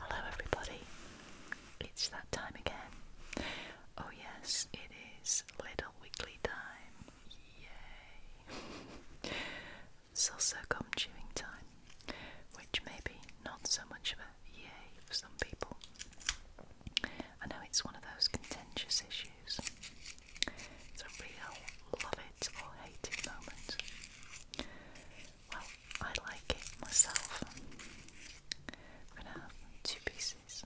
Hello, everybody. It's that time again. Oh, yes, it is Little Weekly Time. Yay! it's also gum chewing time, which may be not so much of a yay for some people. I know it's one of those contentious issues. It's a real love or hate moment. Well, I like it myself. I'm going to have two pieces,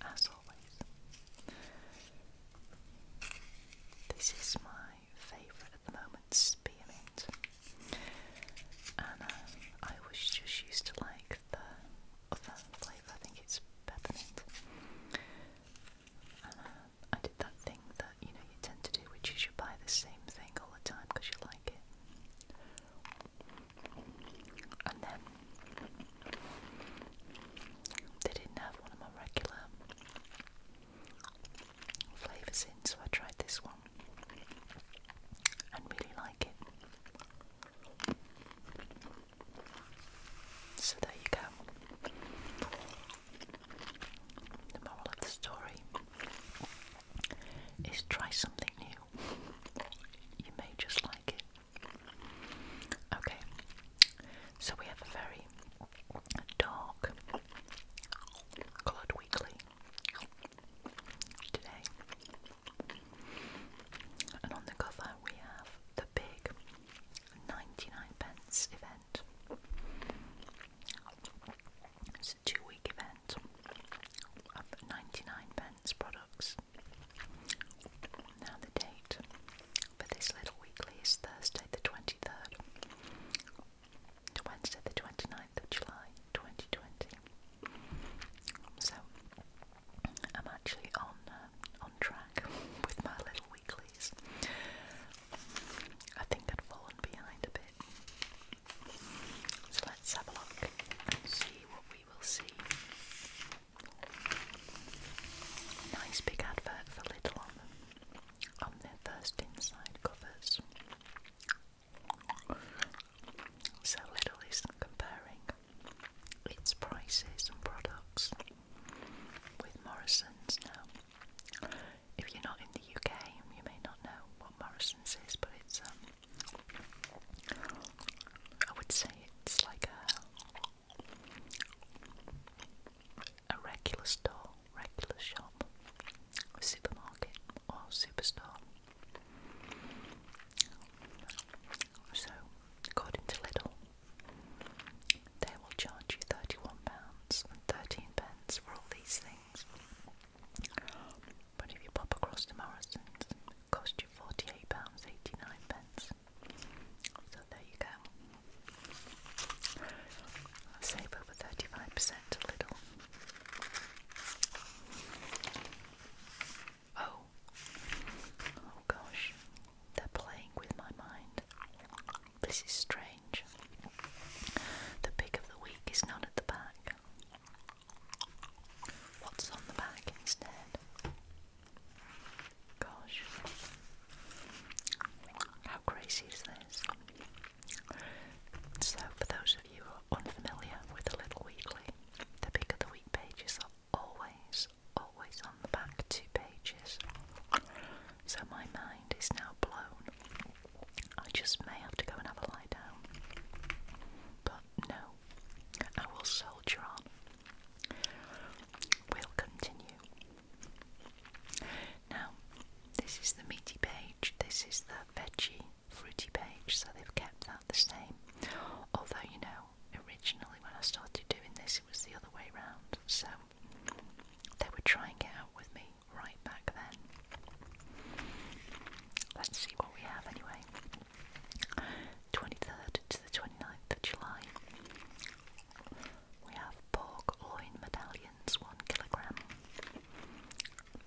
as always. This is my favourite at the moment, spearmint. And uh, I was just used to like the other flavour, I think it's peppermint. Uh, I did that thing that you know you tend to do, which is you buy the same thing all the time because you like it. And then they didn't have one of my regular flavours in, so I tried this one and really like it. So there you go. The moral of the story is try something new. You may just like it. Okay, so we have a very dark coloured weekly today, and on the cover we have the big 99 pence event. It's a two week event of 99 pence products. Now, the date for this little weekly is Thursday the 23rd to Wednesday the 29th of July 2020. So, I'm actually on uh, on track with my little weeklies. I think I'd fallen behind a bit so let's have a look and see what we will see. Nice big advert for Lidl on, their first inside covers. So Lidl is comparing its prices and products with Morrison's now. If you're not in the UK, you may not know what Morrison's is, but it's um, I would say it's like a a regular store, regular shop, a supermarket or superstore. So, according to Lidl, they will charge you thirty-one pounds and thirteen pence for all these things. But if you pop across to Morrison's, cost you £48.89. So there you go. Save over 35% a little. Oh. Oh gosh. They're playing with my mind. This is strange. The pick of the week is not at the back. What's on the back instead? Gosh. How crazy is this? So, for those of you unfamiliar with the Little Weekly, the pick of the week pages are always, always on the back two pages. So my mind is now blown. I just may have to go and have a lie down. But no, I will soldier on. We'll continue. Now, this is the meaty page, this is the veggie fruity page, so they've kept that the same. Although, you know, originally when I started doing this, it was the other way around, so they were trying it out with me right back then. Let's see what we have anyway. 23rd to the 29th of July. We have pork loin medallions, one kilogram,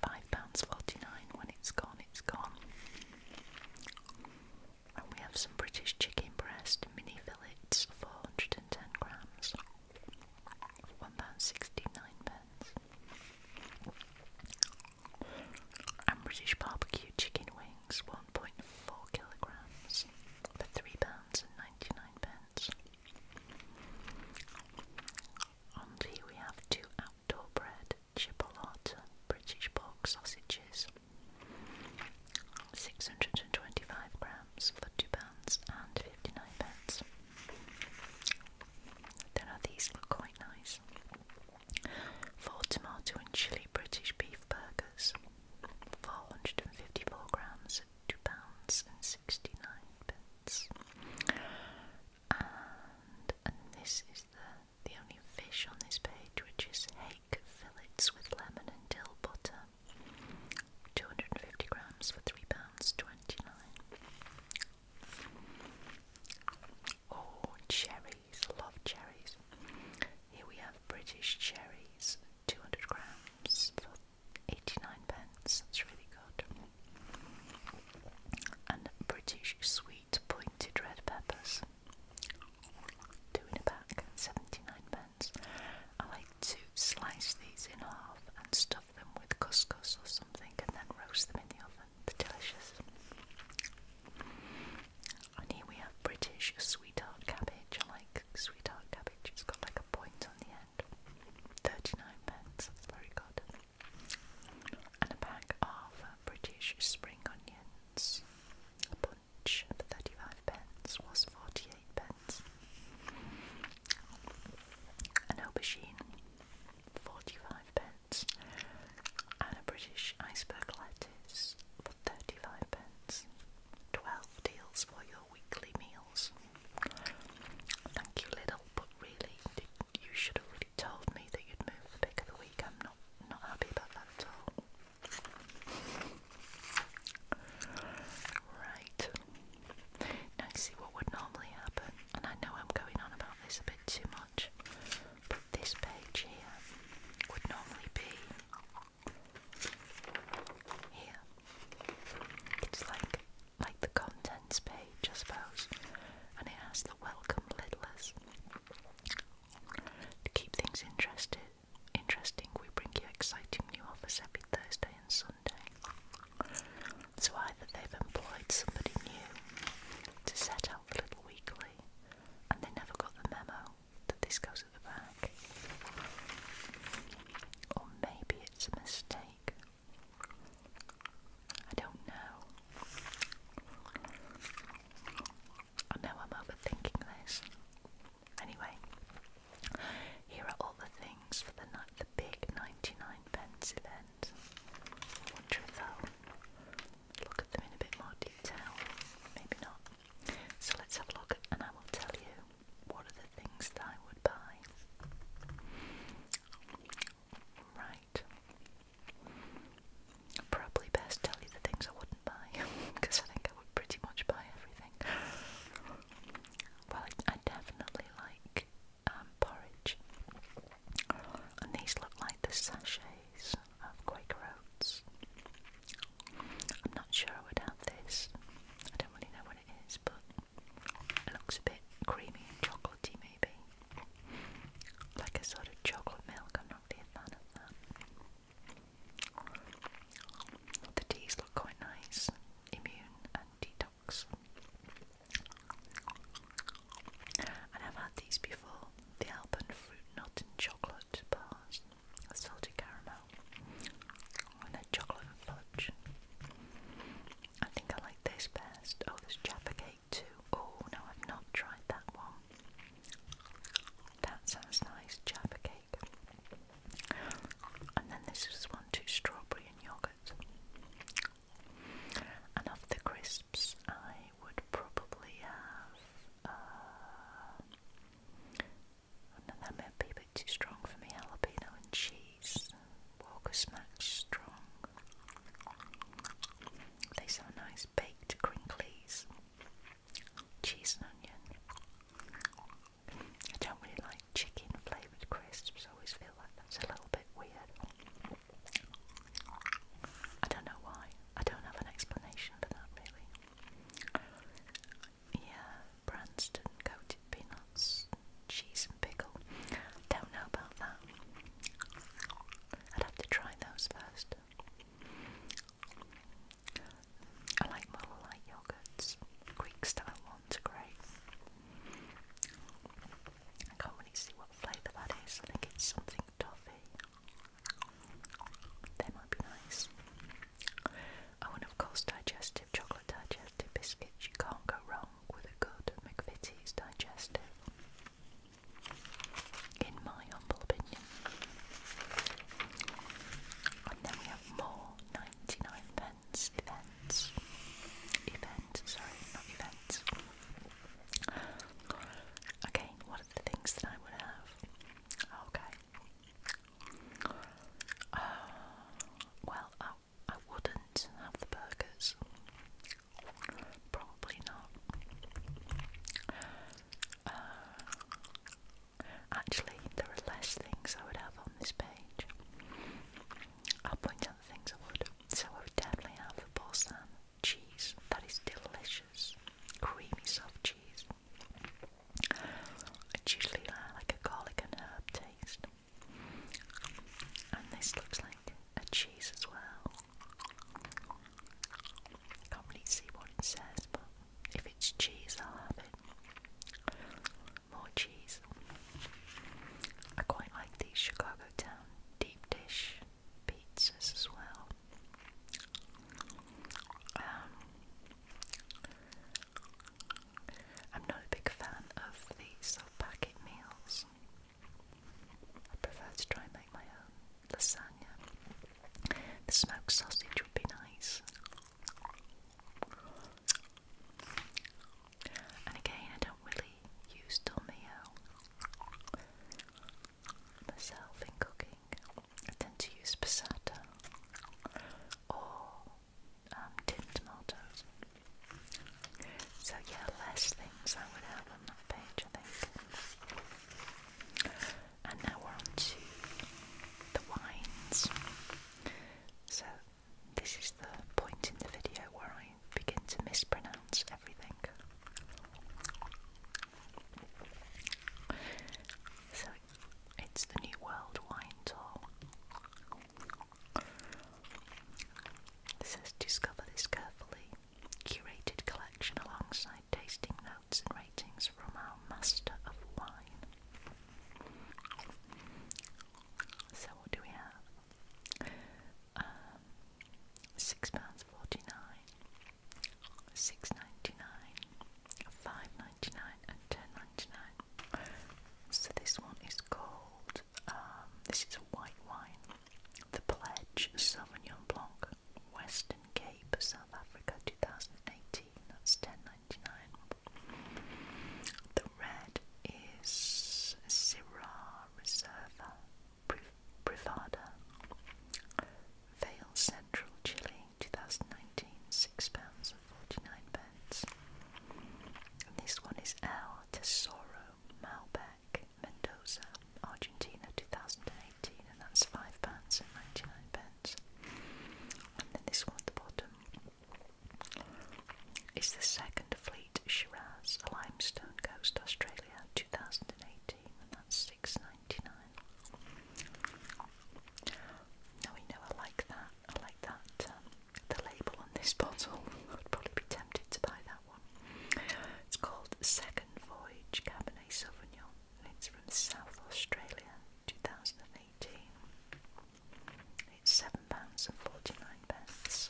five pounds forty-nine. When it's gone, it's gone. And we have some British chicken breast mini fillets, four hundred and ten grams. One pound £1.69. And British barbecue chicken wings, 1.4 kilograms for £3.99. and And here we have two outdoor bread, chipolata, British pork sausages, 625 grams for £2.59. and pence. Then these look quite nice. Four tomato and chili British beef burgers, 454 grams, two pounds and sixty-nine pence. And this is the the only fish on this page, which is hake fillets with lemon and dill butter, 250 grams for 3 pounds Oh, cherries, love cherries. Here we have British cherries, 200 grams for 89 pence, that's really good. And British sweet pointed red peppers, two in a pack, 79 pence. I like to slice these in half and stuff them with couscous or something and then roast them in the oven. They're delicious. And here we have British sweetheart cabbage. I like sweetheart cabbage. It's got like a point on the end. 39 pence. very good. And a pack of British spring onions. A bunch 35 pence was 48 pence an aubergine, 45 pence, and a British iceberg lettuce for 35 pence. 12 deals for your weekly meals. Thank you, Little, but really, you should have really told me that you'd move the pick of the week. I'm not, not happy about that at all. Right. Now you see what would normally happen and I know I'm going on about this a bit too much, but this page here would normally be here. It's like like the contents page, I suppose, and it has the welcome liddlers. To keep things interested interesting, we bring you exciting new offers every Thursday and Sunday. Sunday. So either they've employed somebody new to set up the little weekly and they never got the memo that this goes at the back. Or maybe it's a mistake. I don't know. I know I'm overthinking this. Anyway, here are all the things for the big 99 pence event. I wonder if I'll look at them in a bit more detail. Maybe not. So let's have a look and I will tell you what are the things that I would buy. Right. Probably best tell you the things I wouldn't buy because I think I would pretty much buy everything. Well, I definitely like um, porridge. And these look like the sachets of Quaker Oats. I'm not sure I would have this. I don't really know what it is, but it looks a bit creamy and chocolatey, maybe. Like a sort of chocolate milk. I'm not really a of that. The teas look quite nice. Immune and detox. And I've had these before the Alpen fruit nut and chocolate bars, salted caramel, and a chocolate fudge. I think I like this best. Oh, this Jaffa cake too. Oh, no, I've not tried that one. That sounds nice, Jaffa cake. And then this is one too strawberry and yogurt. And of the crisps, I would probably have. Uh, that might be a bit too strong for me. Jalapeno and cheese. Walker Smacks strong. They sound nice baked crinklies. Cheese and onion. I don't really like chicken flavoured crisps, always feel like that's a little bit weird. I don't know why. I don't have an explanation for that, really. Yeah, Branston coated peanuts, cheese, and pickle. Don't know about that. I'd have to try those first. I like more light yogurts. Greek style ones great. I can't really see what flavour that is. I think it's something toffee. They might be nice. Oh, and of course, digestive chocolate digestive biscuits. You can't go wrong with a good McVitie's digestive. In my humble opinion. And then we have more 99 pence events. Events, sorry, not events. Okay, what are the things that I would have? Oh, okay. Uh, well, I, I wouldn't have the burgers. Probably not. Uh, actually, there are less things I would have on this page. I'll point things I would. So I definitely have the Balsam cheese. That is delicious. Creamy soft cheese. It's usually like a garlic and herb taste. And this looks like a cheese as well. Can't really see what it says, but if it's cheese, I'll have it. More cheese. I quite like the Chicago Town dish pizzas as well. Um, I'm not a big fan of these sort of meals. I prefer to try and make my own lasagna. The smoked sausage would be nice. And again, I don't really use Dolmio myself in cooking. I tend to use passata or um, tin tomatoes. So yeah, less things I would have on that page, I think. And now we're on the wines. So this is the point in the video where I begin to mispronounce everything. So it's the New World Wine Tour. It says discover this carefully curated collection alongside tasting notes and ratings from our master of wine. So what do we have? Uh, six pounds forty nine, six ninety nine, five ninety nine, and ten ninety nine. So this one is called. Um, this is a white wine, the Pledge Sauvignon Blanc, Western Cape, South Africa, two thousand eighteen. That's ten ninety nine. The red is Syrah Reserva. Privada. Vale Central, Chile, 2019, £6.49. And this one is El Tesoro Malbec, Mendoza, Argentina, 2018, and that's £5.99. And then this one at the bottom is the second fleet Great Shiraz, a Limestone Coast, Australia, 2018, and that's six ninety nine. Now we know like that. I like that um, the label on this bottle. I'd probably be tempted to buy that one. It's called Second Voyage Cabernet Sauvignon, and it's from South Australia, 2018. It's seven pounds and forty nine pence.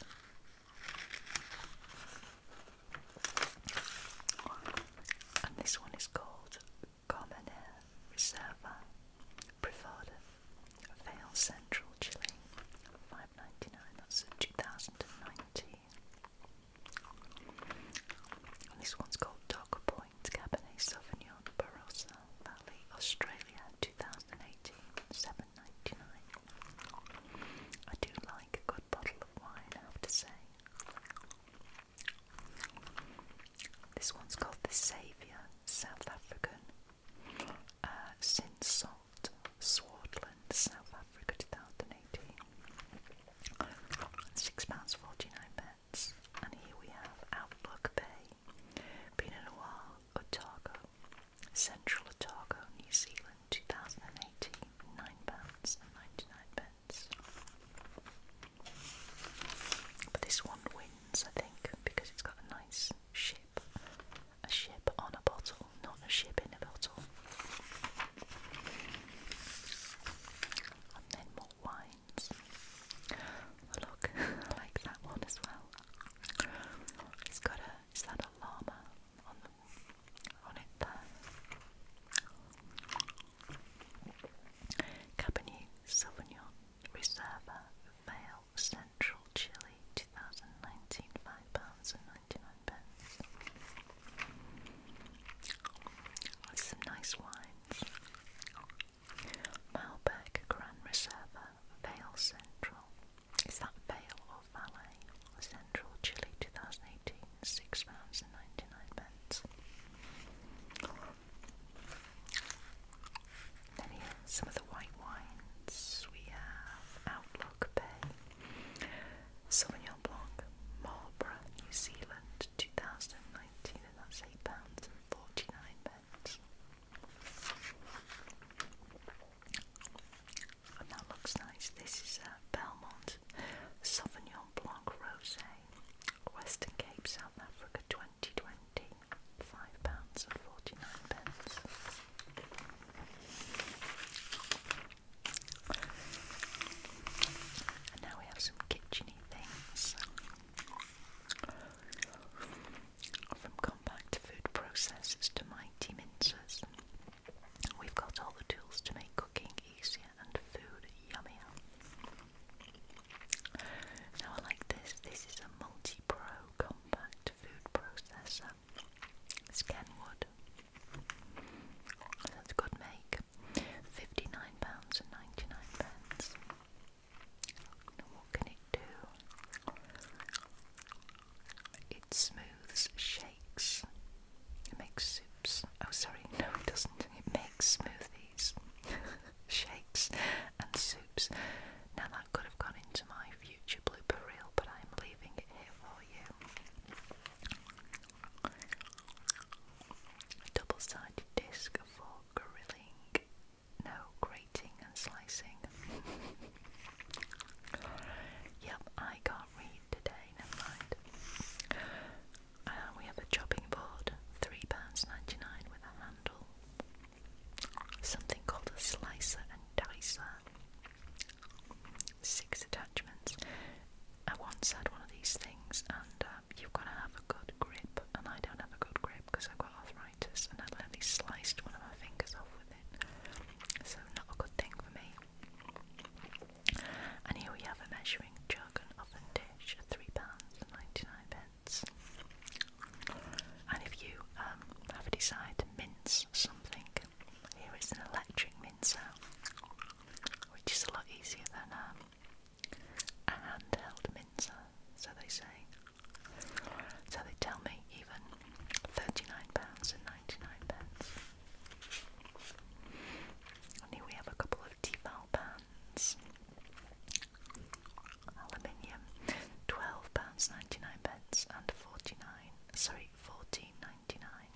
And this one is called Carmenere Reserva Privada Vale Central Chile. Five ninety nine, that's two thousand and nineteen. And this one's called Dog Point Cabernet Sauvignon Barossa Valley, Australia, 2018, 7.99. I do love a good bottle of wine, I have to say. This one's called the Saviour, South African. Uh, since Salt, Swartland, South Africa 2018. £6.49 pence. And here we have Outlook Bay, Pinot Noir, Otago, Central Otago, New Zealand. 2018, pounds 99 But this one wins, I think, because it's got a nice ship. A ship on a bottle, not a ship in a bottle. And then more wines. look, like that one as well. It's got a is that a llama Cabernet Sauvignon Reserva Male Central Chile 2019 £5.99 some nice wines. Malbec Grand Reserva Vale Central is that Vale or Valet? Central Chile 2018, £6.99. Then here, some of the white wines. We have Outlook Bay, Sauvignon Blanc, Marlborough, New Zealand 2019, and that's £8.49. pence. And that looks nice. This is uh, Belmont Sauvignon Blanc Rosé, Western Cape, South Africa 2020, £5.49. And now we have some kitcheny things. From compact food processors to mighty mincers, We've got all the tools to make cooking easier and food yummier. Now I like this. This is a multi-pro compact food processor. It's Kenwood. That's a make. £59.99. Now what can it do? It smooths shakes. It makes soups. Oh, sorry, no, it doesn't. It makes smoothies, shakes, and soups. Now, that could have gone into my future blooper reel, but I'm leaving it here for you. double sided disc for grilling, no, grating and slicing. yep, I got can today, never mind. Uh, we have a chopping board, £3.99 with a handle. Something called a slicer and dicer. Six attachments. I once had one of these things, and uh, you've got to have a good grip, and I don't have a good grip because I've got arthritis, and I have literally sliced one of my fingers off with it. So, not a good thing for me. And here we have a measuring jug and oven dish at £3.99. pence. And if you um, have a desire to mince something, here is an electric mincer, which is a lot easier than um, a handheld mincer, so they say. So they tell me even £39.99. and pence here we have a couple of Tefal pans. Aluminium, twelve pounds ninety nine pence and forty nine. Sorry, fourteen ninety nine.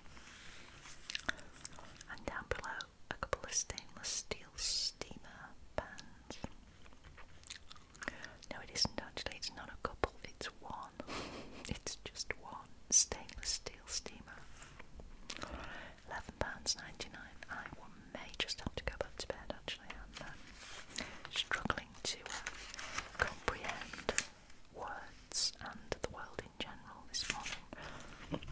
And down below, a couple of stainless steel steamer pans. No, it isn't actually. It's not a couple. It's one. It's just one stainless steamer. £11.99. I may just have to go back to bed actually. Um, struggling to uh, comprehend words and the world in general this morning.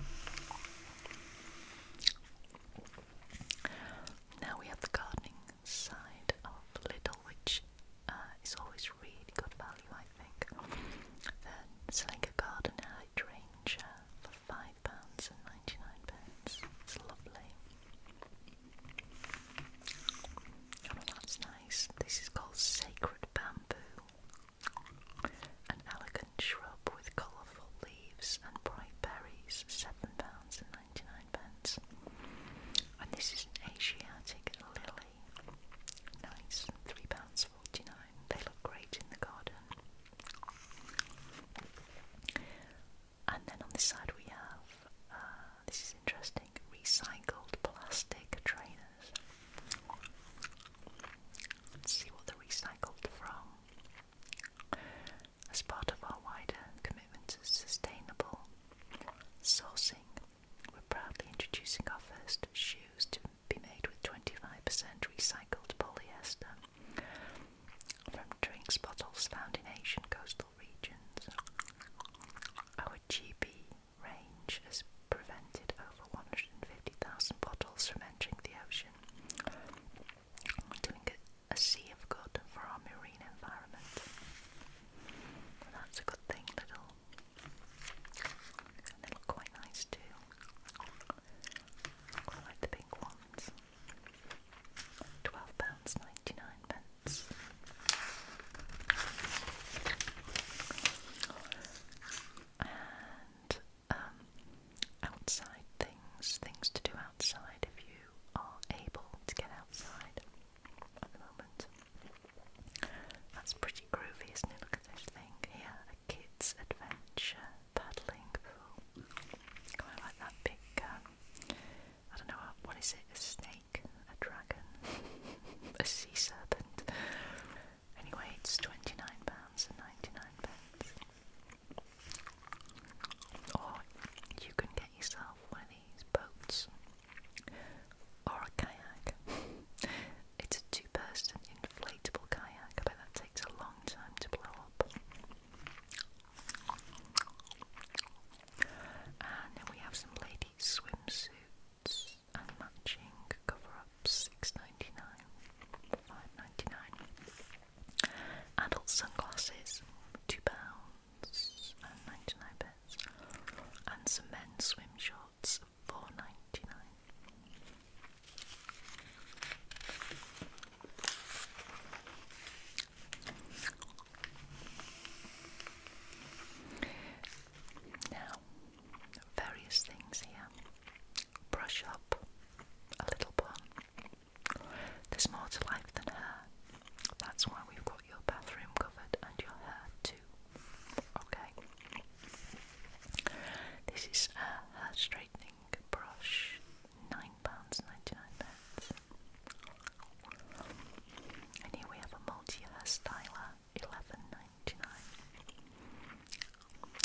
Now we have the gardening side of Lidl, which uh, always really good value, I think. Then Selenga Garden Hydrangea uh, for £5.99. It's lovely. Oh, that's nice. This is called Sacred Bamboo. An elegant shrub with colourful leaves and bright berries, £7.99. And this is an Asiatic lily. Nice, £3.49. They look great in the garden. And then on this side we have, uh, this is interesting, recycled plastic trainers. Let's see what they're recycled from. As part of our wider commitment to sustainable sourcing, we're proudly introducing our first shoes to be made with 25% recycled polyester from drinks bottles found in Asian coastal regions. Our GB range has prevented over 150,000 bottles from entering the ocean, doing a, sea of good for our marine environment. that's a good thing, little they look quite nice too. quite like the pink ones. £12.99. Pence. And um, outside things, things to do outside if you are able to get outside at the moment. That's pretty groovy, isn't it? Look at this thing here, a kid's adventure paddling pool. Quite like that big, um, I don't know, what is it, a snake, a dragon, a sea serpent. Anyway, it's £29.99. Or you can get yourself one of these boats or a kayak. it's a two person inflatable kayak, but that takes a long time to blow up. And then we have some lady swimsuits and matching cover ups, six ninety nine, five ninety nine. Adult sunglasses, two pounds and ninety nine pence. And some men's swim shorts, four ninety nine. Now, various things here. Brush up a little bit. There's more to life than hair. That's why we've got your bathroom covered and your hair too too. Okay. This is a hair straightening brush, nine pounds ninety nine pence. And here we have a multi hair styler, eleven ninety nine.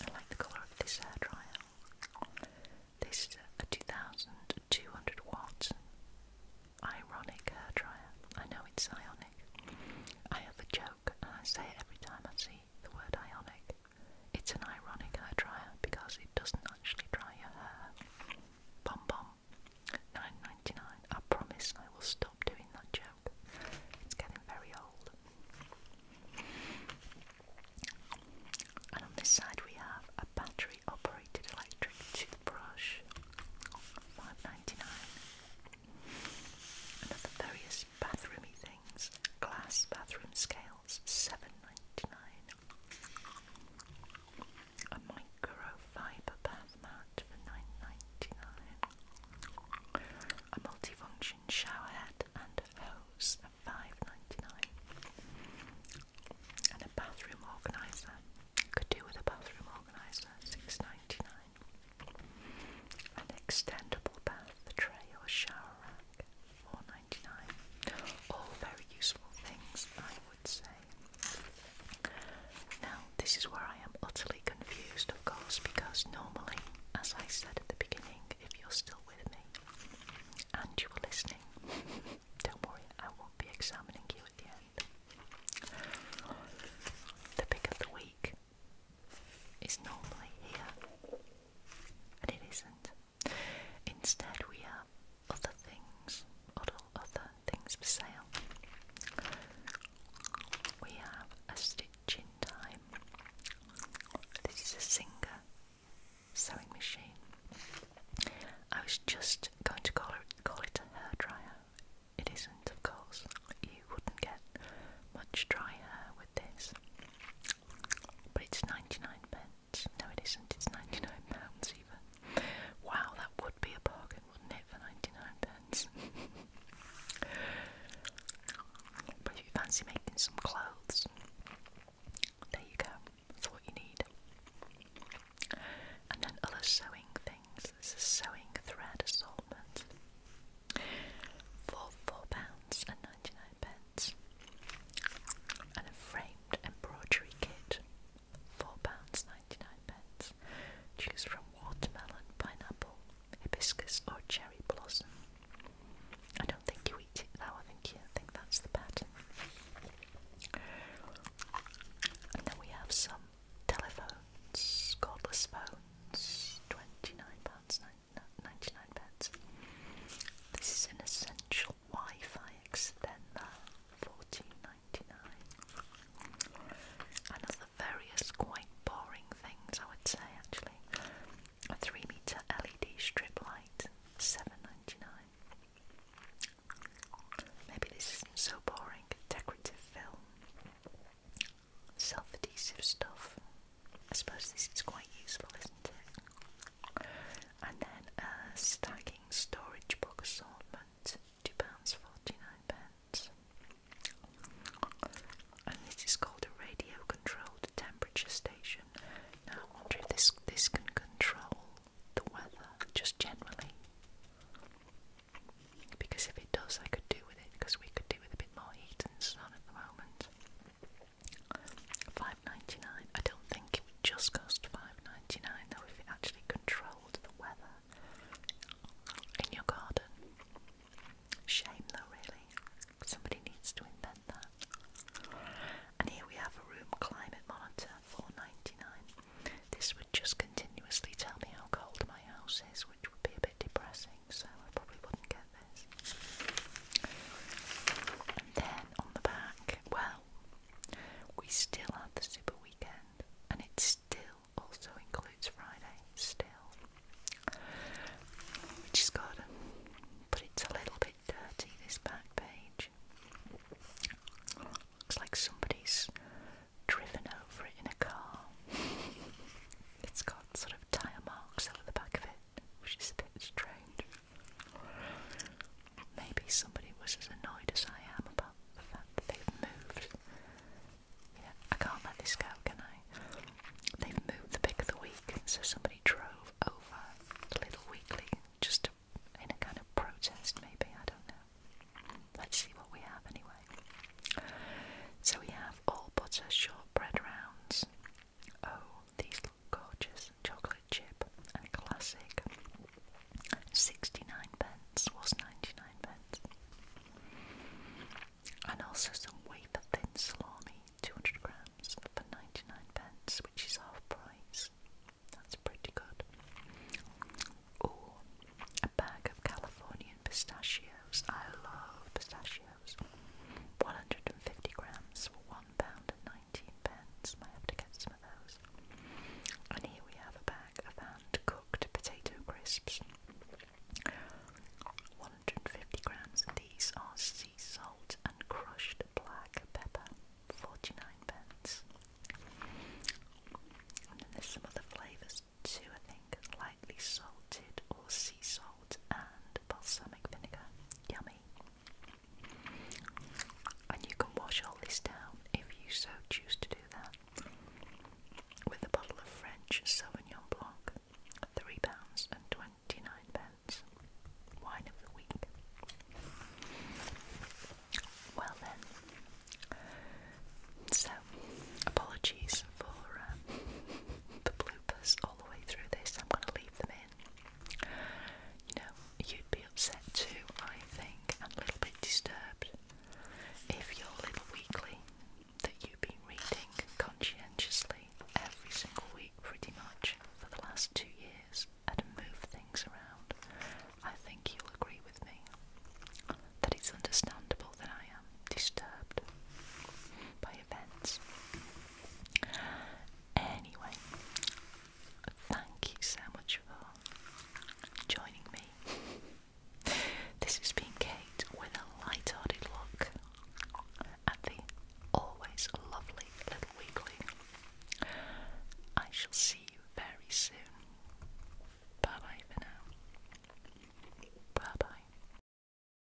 I like the colour of this hair dryer. This is a two thousand two hundred watt ironic hair dryer. I know it's ionic. I have a joke, and I say it every time I see the word ionic. It's an ironic hair dryer because it doesn't actually dry your hair. Pom pom, nine ninety nine. I promise I will stop doing that joke. It's getting very old. And on this side we have a battery operated electric toothbrush. Five ninety nine and other various bathroomy things. Glass bathroom scales, seven ninety nine. A microfiber bath mat for nine ninety nine. A multifunction shower head and hose at five ninety nine. And a bathroom organizer. Could do with a bathroom organizer, six ninety nine. An extendable bath tray or shower rack, 4 All very useful things, I would say. Now, this is where I am utterly confused, of course, because normally, as I said at the beginning, if you're still with me and you were listening, don't worry, I won't be examining you at the end. The pick of the week is normally here, and it isn't. Instead, we have other things, other, other things for sale. We have a stitch in time. This is a Singer sewing machine. I was just going to call it, call it a hair dryer. It isn't and of course you wouldn't get much dry hair with this. But it's 99 pence. No it isn't, it's 99 pounds even. Wow, that would be a bargain, wouldn't it, for 99 pence? but if you fancy making some clothes, there you go. That's what you need. And then other sewing things. There's a sewing thread assortment. Coleman's £4.99 and a framed embroidery kit £4.99. Choose from watermelon, pineapple, hibiscus or cherry blossom. I don't think you eat it now, I think you think that's the pattern. And then we have some telephones, cordless phones, £29.99 pence. This is an essential Wi-Fi extender, fourteen ninety nine. dollars various quite boring things, I would say actually, a 3 meter LED strip light, 7 Maybe this isn't so boring. Decorative film, self-adhesive stuff. I suppose this is quite useful, isn't it? And then a stacking storage book assortment, £2.49. And this is called a radio-controlled temperature station. Now I wonder if this, this can control the weather, just generally. Because if it does, I could do with it, because we could do do with a bit more heat and sun at the moment. Five ninety nine. I don't think it would just cost five ninety nine though if it actually controlled the weather in your garden. Shame though, really. Somebody needs to invent that. And here we have a room climate monitor, four ninety nine. This would just continuously tell me how cold my house is, which would be a bit depressing so I probably wouldn't get this. And then on the back, well, we still had the super weekend, and it still also includes Friday, still, which is good, but it's a little bit dirty this back page. Looks like somebody's driven over it in a car. it's got sort of tyre marks over the back of it, which is a bit strange. Maybe somebody was as annoyed as I am about the fact that they've moved. Yeah, I can't let this go, can I? They've moved the pick of the week, so somebody drove over the Little Weekly just in a kind of protest, maybe, I don't know. Let's see what we have anyway. So we have all butter shortbread rounds. Oh, these look gorgeous. Chocolate chip and classic. 69 pence was 99 pence. And also some wafer thin salami, 200 grams for 99 pence, which is half price. That's pretty good. Oh, a bag of Californian pistachios. I love pistachios. 150 grams for one pound and nineteen pence. Might have to get some of those. And here we have a bag of hand-cooked potato crisps. 150 grams. These are sea salt and crushed black pepper. 49 pence. And then there's some other flavours too, I think salted or sea salt and balsamic vinegar. Yummy. And you can wash all this down if you so choose to do that with a bottle of French Sauvignon Blanc, three pounds and twenty nine pence. Wine of the week. Well then, so apologies for um, the bloopers all the way through this. I'm going to leave them in. You know, you'd be upset too, I think, and a little bit disturbed if your little weekly that you've been reading conscientiously every single week, pretty much, for the last two years, had moved things around. I think you'll agree with me that it's understandable that I am disturbed Anyway, thank you so much for joining me. this has been Kate with a light-hearted look at the always lovely little weekly. I shall see you very soon. Bye bye for now. Bye bye.